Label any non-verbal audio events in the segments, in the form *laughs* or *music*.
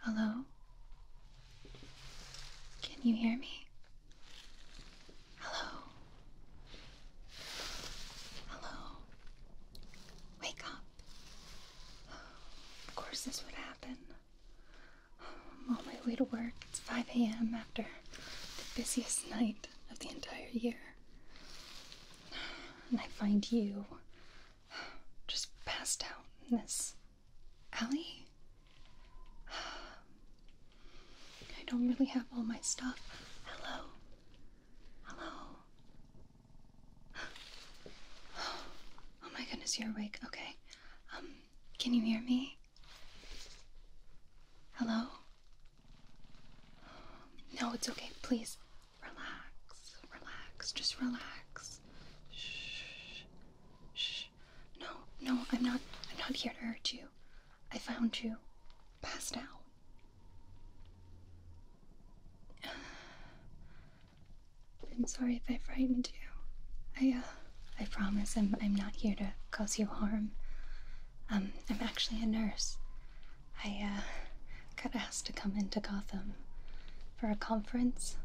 Hello? Can you hear me? Hello? Hello? Wake up. Of course, this would happen. i on my way to work. It's 5 a.m. after the busiest night of the entire year. And I find you just passed out in this Allie? I don't really have all my stuff. Hello? Hello? Oh my goodness, you're awake. Okay. Um, can you hear me? Hello? No, it's okay. Please relax. Relax. Just relax. Shh. Shh. No, no, I'm not. I'm not here to hurt you. I found you passed out. *sighs* I'm sorry if I frightened you. I, uh, I promise I'm, I'm not here to cause you harm. Um, I'm actually a nurse. I, uh, got asked to come into Gotham for a conference.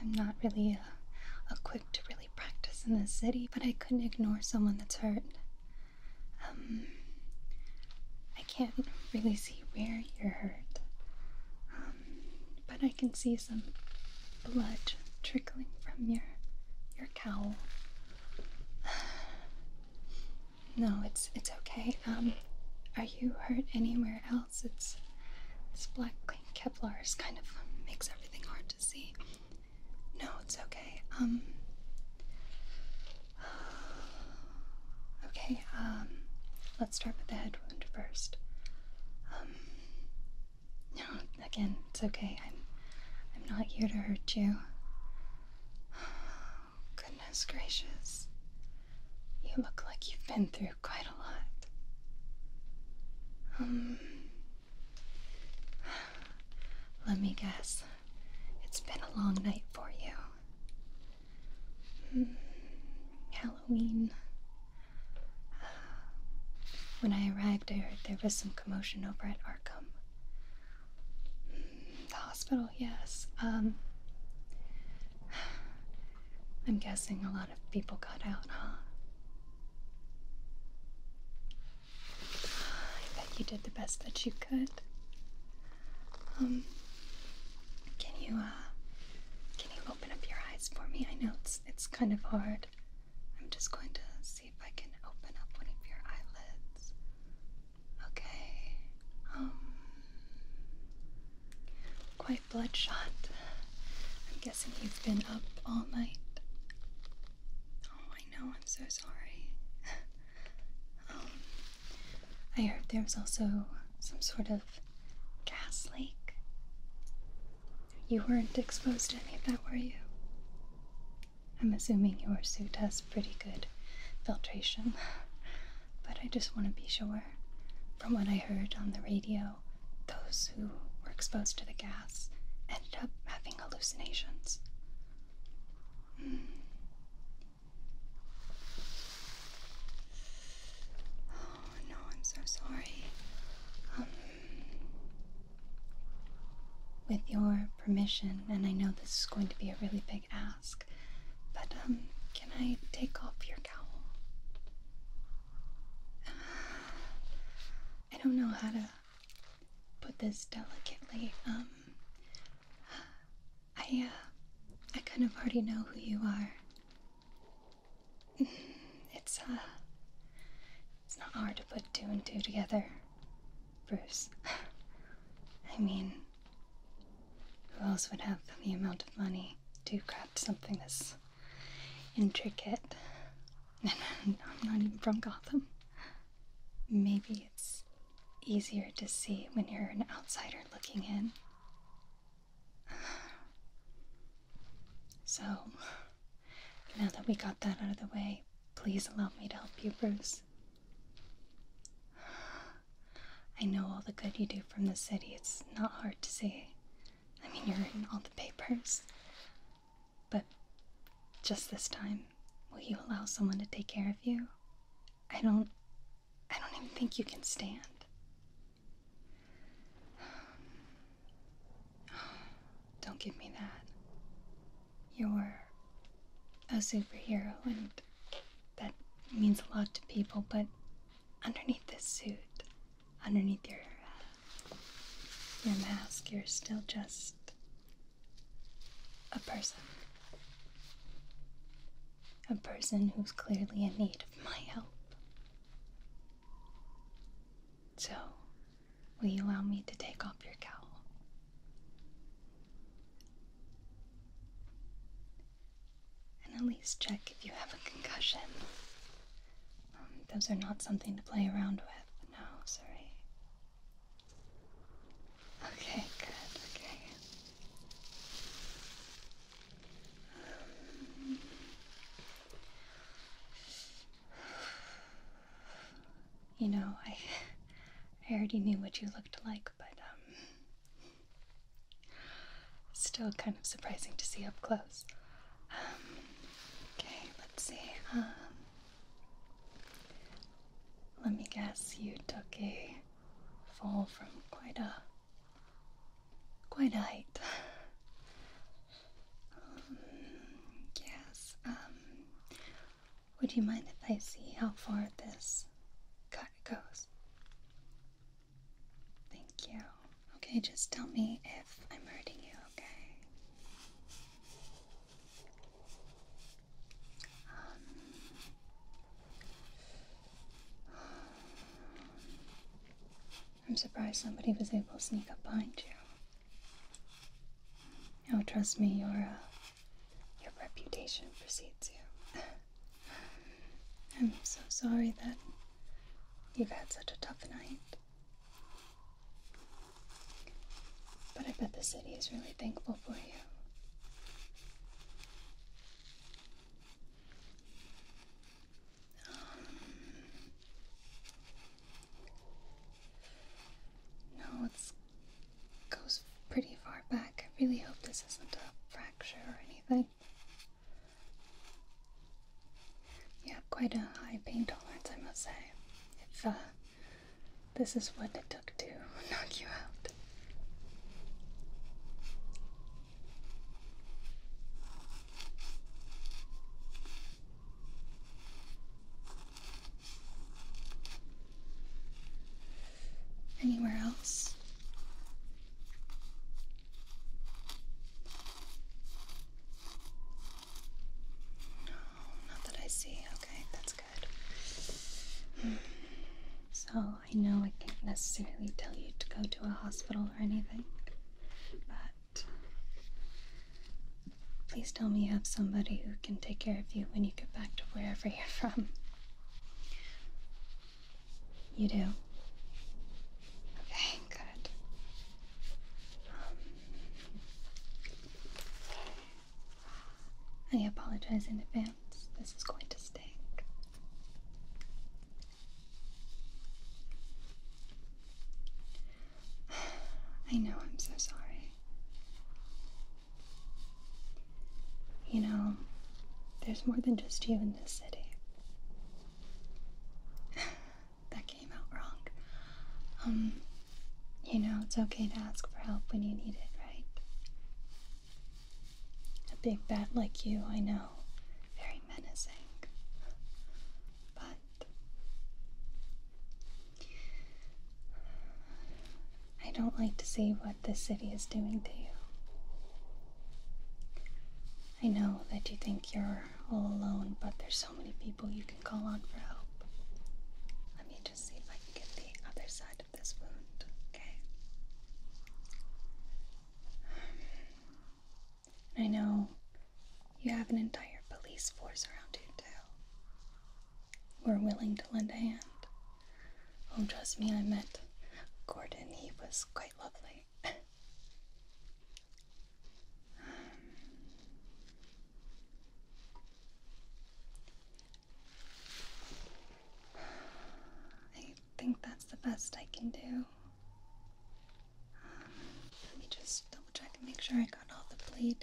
I'm not really uh, equipped to really practice in this city, but I couldn't ignore someone that's hurt. Um, I can't really see where you're hurt, um, but I can see some blood trickling from your your cowl. *sighs* No, it's it's okay. Um, are you hurt anywhere else? It's this black Kevlar is kind of makes everything hard to see. No, it's okay. Um. Okay. Um, let's start with the head wound first. Um. No, again, it's okay. I'm I'm not here to hurt you goodness gracious. You look like you've been through quite a lot. Um, let me guess. It's been a long night for you. Hmm, Halloween. Uh, when I arrived, I heard there was some commotion over at Arkham. Hmm, the hospital, yes. Um, I'm guessing a lot of people got out, huh? I bet you did the best that you could. Um, can you, uh, can you open up your eyes for me? I know it's, it's kind of hard. I'm just going to see if I can open up one of your eyelids. Okay. Um quite bloodshot. I'm guessing he's been up all night. Oh, I know, I'm so sorry. *laughs* um I heard there was also some sort of gas leak. You weren't exposed to any of that, were you? I'm assuming your suit has pretty good filtration but I just want to be sure. From what I heard on the radio, those who were exposed to the gas ended up having hallucinations. Hmm. Oh no, I'm so sorry. Um, with your permission, and I know this is going to be a really big ask, but um, can I take off your cowl? *sighs* I don't know how to put this delicately. Um, I uh, I kind of already know who you are. *laughs* It's uh, it's not hard to put two and two together, Bruce. *laughs* I mean, who else would have the amount of money to craft something this intricate? And *laughs* I'm not even from Gotham. Maybe it's easier to see when you're an outsider looking in. So, now that we got that out of the way, please allow me to help you, Bruce. I know all the good you do from the city. It's not hard to see. I mean, you're in all the papers. But just this time, will you allow someone to take care of you? I don't. I don't even think you can stand. *sighs* Don't give me that. You're a superhero, and that means a lot to people, but underneath this suit, underneath your, uh, your mask, you're still just a person. A person who's clearly in need of my help. So, will you allow me to take off your cowl? And at least check if you have a concussion. Um, those are not something to play around with. No, sorry. Okay, good, okay. you know, I, *laughs* I already knew what you looked like but um, still kind of surprising to see up close. Um, okay, let's see. Um, let me guess you took a fall from quite a quite a height. yes. Would you mind if I see how far this cut goes? Thank you. Okay, just tell me if I'm hurting you, okay? Um, I'm surprised somebody was able to sneak up behind you. Oh, trust me, you're a your reputation precedes you. I'm so sorry that you've had such a tough night. But I bet the city is really thankful for you. Um, no, it's goes pretty far back. I really hope this isn't a fracture or anything. Yeah, quite a high pain tolerance, I must say. If uh, this is what it took to *laughs* knock you out. Anywhere else? No, not that I see. Okay, that's good. Hmm. So I know I can't necessarily tell you to go to a hospital or anything, but Please tell me you have somebody who can take care of you when you get back to wherever you're from. You do? Okay, good. Um, I apologize in advance. This is going to stink. *sighs* I know, I'm so sorry. You know, there's more than just you in this city. *laughs* that came out wrong. Um, you know, it's okay to ask for help when you need it, right? A big bat like you, I know, very menacing. But I don't like to see what the city is doing to you. I know that you think you're all alone, but there's so many people you can call on for help. Let me just see if I can get the other side of this wound, okay? I know you have an entire police force around you, too. We're willing to lend a hand. Oh, trust me, I met Gordon. He was quite lovely. *sighs* I think that's the best I can do. Um, let me just double make sure I got all the bleeding.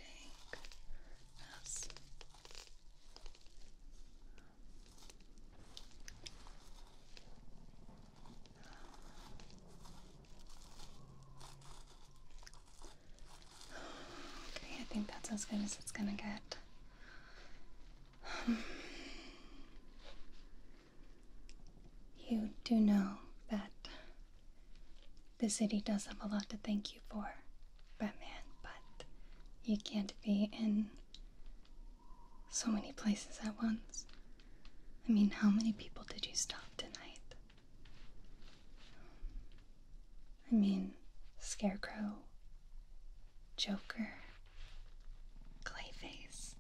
Okay, I think that's as good as it's gonna get. *sighs* You do know that the city does have a lot to thank you for, Batman, but you can't be in so many places at once. I mean, how many people did you stop tonight? I mean, Scarecrow, Joker, Clayface.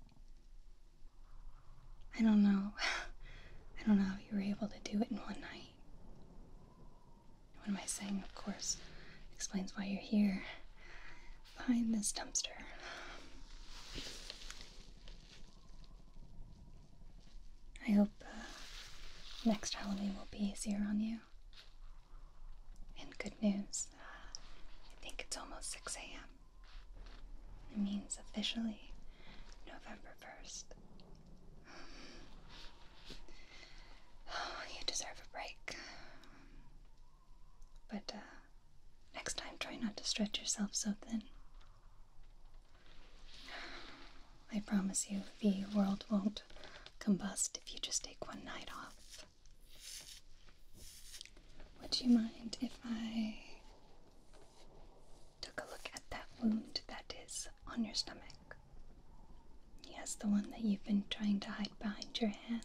I don't know. *laughs* I don't know how you were able to do it in one night. What am I saying? Of course, explains why you're here behind this dumpster. I hope uh, next holiday will be easier on you. And good news, uh, I think it's almost 6 a.m. It means officially November 1st Oh, you deserve a break. But uh, next time, try not to stretch yourself so thin. I promise you, the world won't combust if you just take one night off. Would you mind if I took a look at that wound that is on your stomach. Yes, the one that you've been trying to hide behind your hand.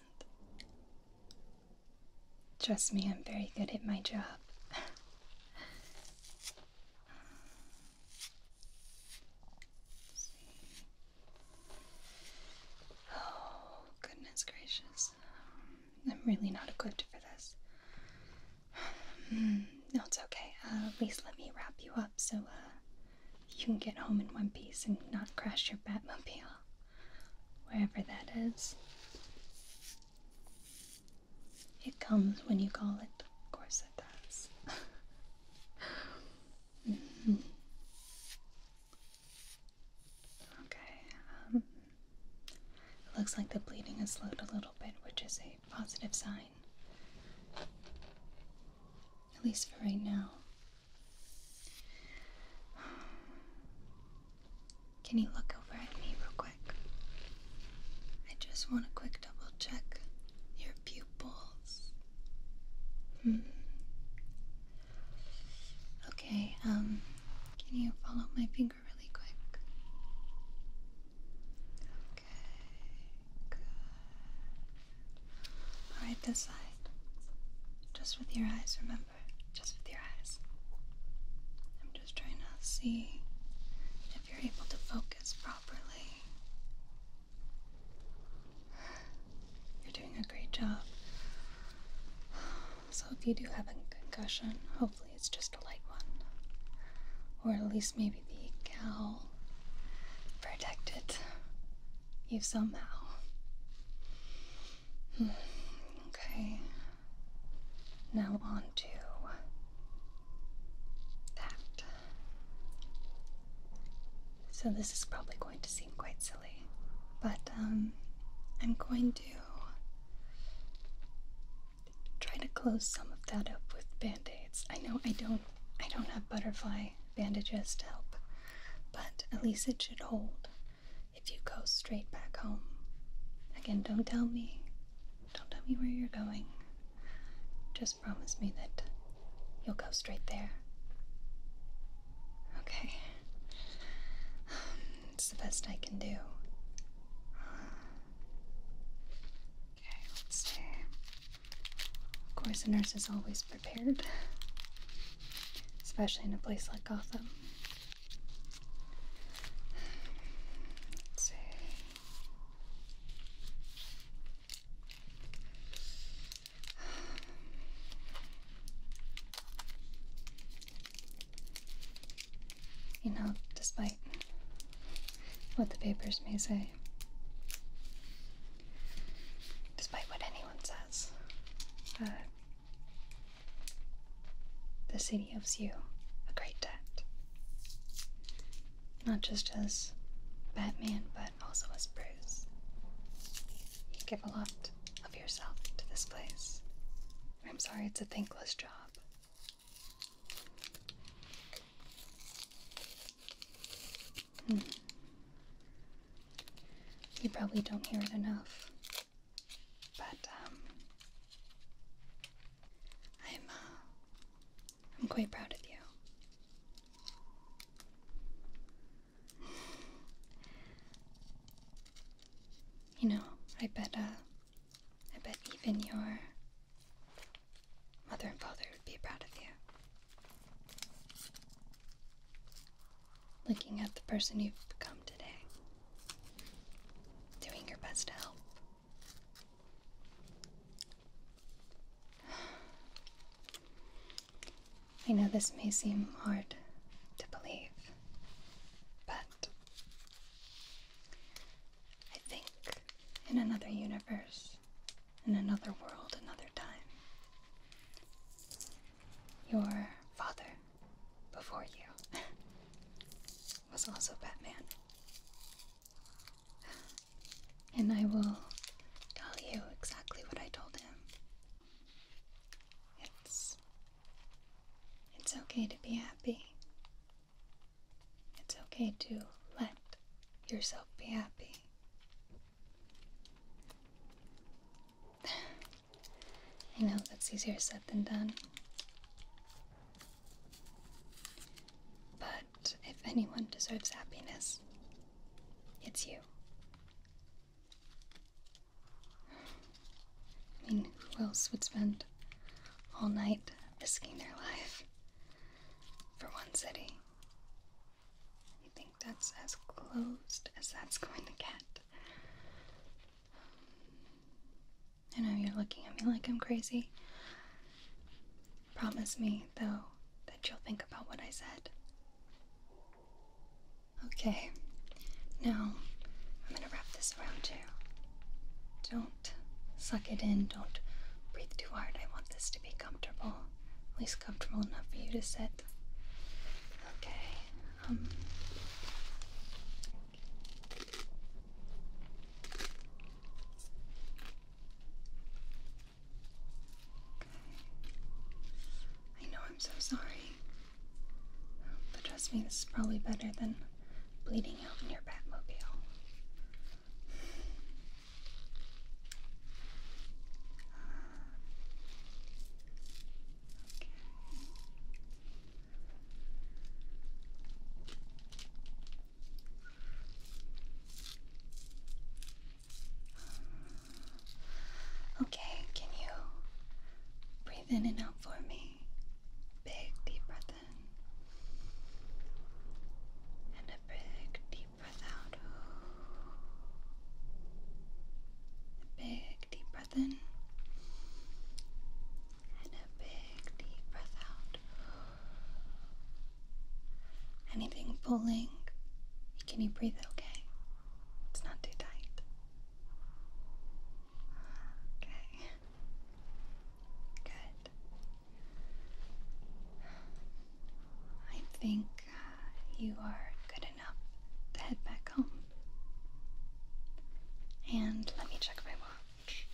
Trust me, I'm very good at my job. *laughs* Oh, goodness gracious. I'm really not equipped for this. *sighs* No, it's okay. Uh, at least let me wrap you up so uh, you can get home in one piece and not crash your Batmobile, wherever that is. It comes when you call it. Of course, it does. *laughs* Okay. Um, it looks like the bleeding has slowed a little bit, which is a positive sign. At least for right now. Can you look over at me real quick? I just want a quick double check your pupils. Hmm. Okay, um, can you follow my finger really quick? Okay, good. Alright, this side. Just with your eyes, remember? Just with your eyes. I'm just trying to see if you're able to focus properly. You're doing a great job. So, if you do have a concussion, hopefully it's just a light one. Or at least maybe the cowl protected you somehow. Hmm, okay. Now onto that. So this is probably going to seem quite silly, but um, I'm going to try to close some of that up with band-aids. I know I don't I don't have butterfly bandages to help, but at least it should hold if you go straight back home. Again, don't tell me. Don't tell me where you're going. Just promise me that you'll go straight there. Okay. *sighs* It's the best I can do. Okay, let's see. Of course, a nurse is always prepared, especially in a place like Gotham. Let's see. You know, despite what the papers may say, despite what anyone says, uh, the city owes you a great debt. Not just as Batman, but also as Bruce. You give a lot of yourself to this place. I'm sorry it's a thankless job, Hmm. You probably don't hear it enough, but um, I'm uh, I'm quite proud of you. *sighs* You know, I bet uh, I bet even your mother and father would be proud of you. Looking at the person you've become today, doing your best to help. I know this may seem hard to believe, but I think in another universe, in another world, another time, your father before you *laughs* was also Batman. And I will tell you exactly what I told him. It's it's okay to be happy. It's okay to let yourself be happy. *sighs* I know that's easier said than done. But if anyone deserves happiness, it's you. I mean, who else would spend all night risking their life for one city? I think that's as closed as that's going to get. I know you're looking at me like I'm crazy. Promise me, though, that you'll think about what I said. Okay, now I'm gonna wrap this around you. Don't suck it in, don't breathe too hard. I want this to be comfortable, at least comfortable enough for you to sit. Okay, um. I know I'm so sorry. But trust me, this is probably better than bleeding out in your Batmobile. Okay. Okay, can you breathe in and out for me. Big deep breath in. And a big deep breath out. big deep breath in. And a big deep breath out. Anything pulling? Can you breathe okay? It's not too tight. Okay. Good. I think uh, you are good enough to head back home. And let me check my watch.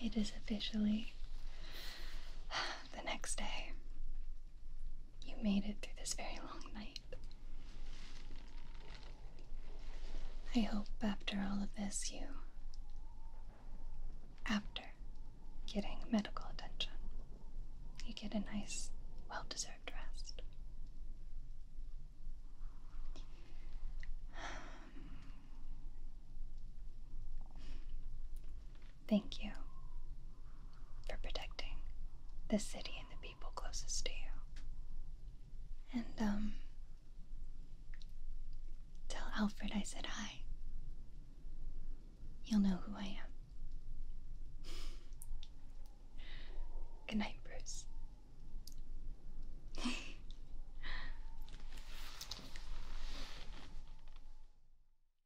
It is officially the next day you made it through this very long night. I hope after all of this, you, after getting medical attention, you get a nice, well deserved rest. *sighs* Thank you for protecting the city and the people closest to you. And, um, tell Alfred I said hi. He'll know who I am. *laughs* Good night, Bruce. *laughs*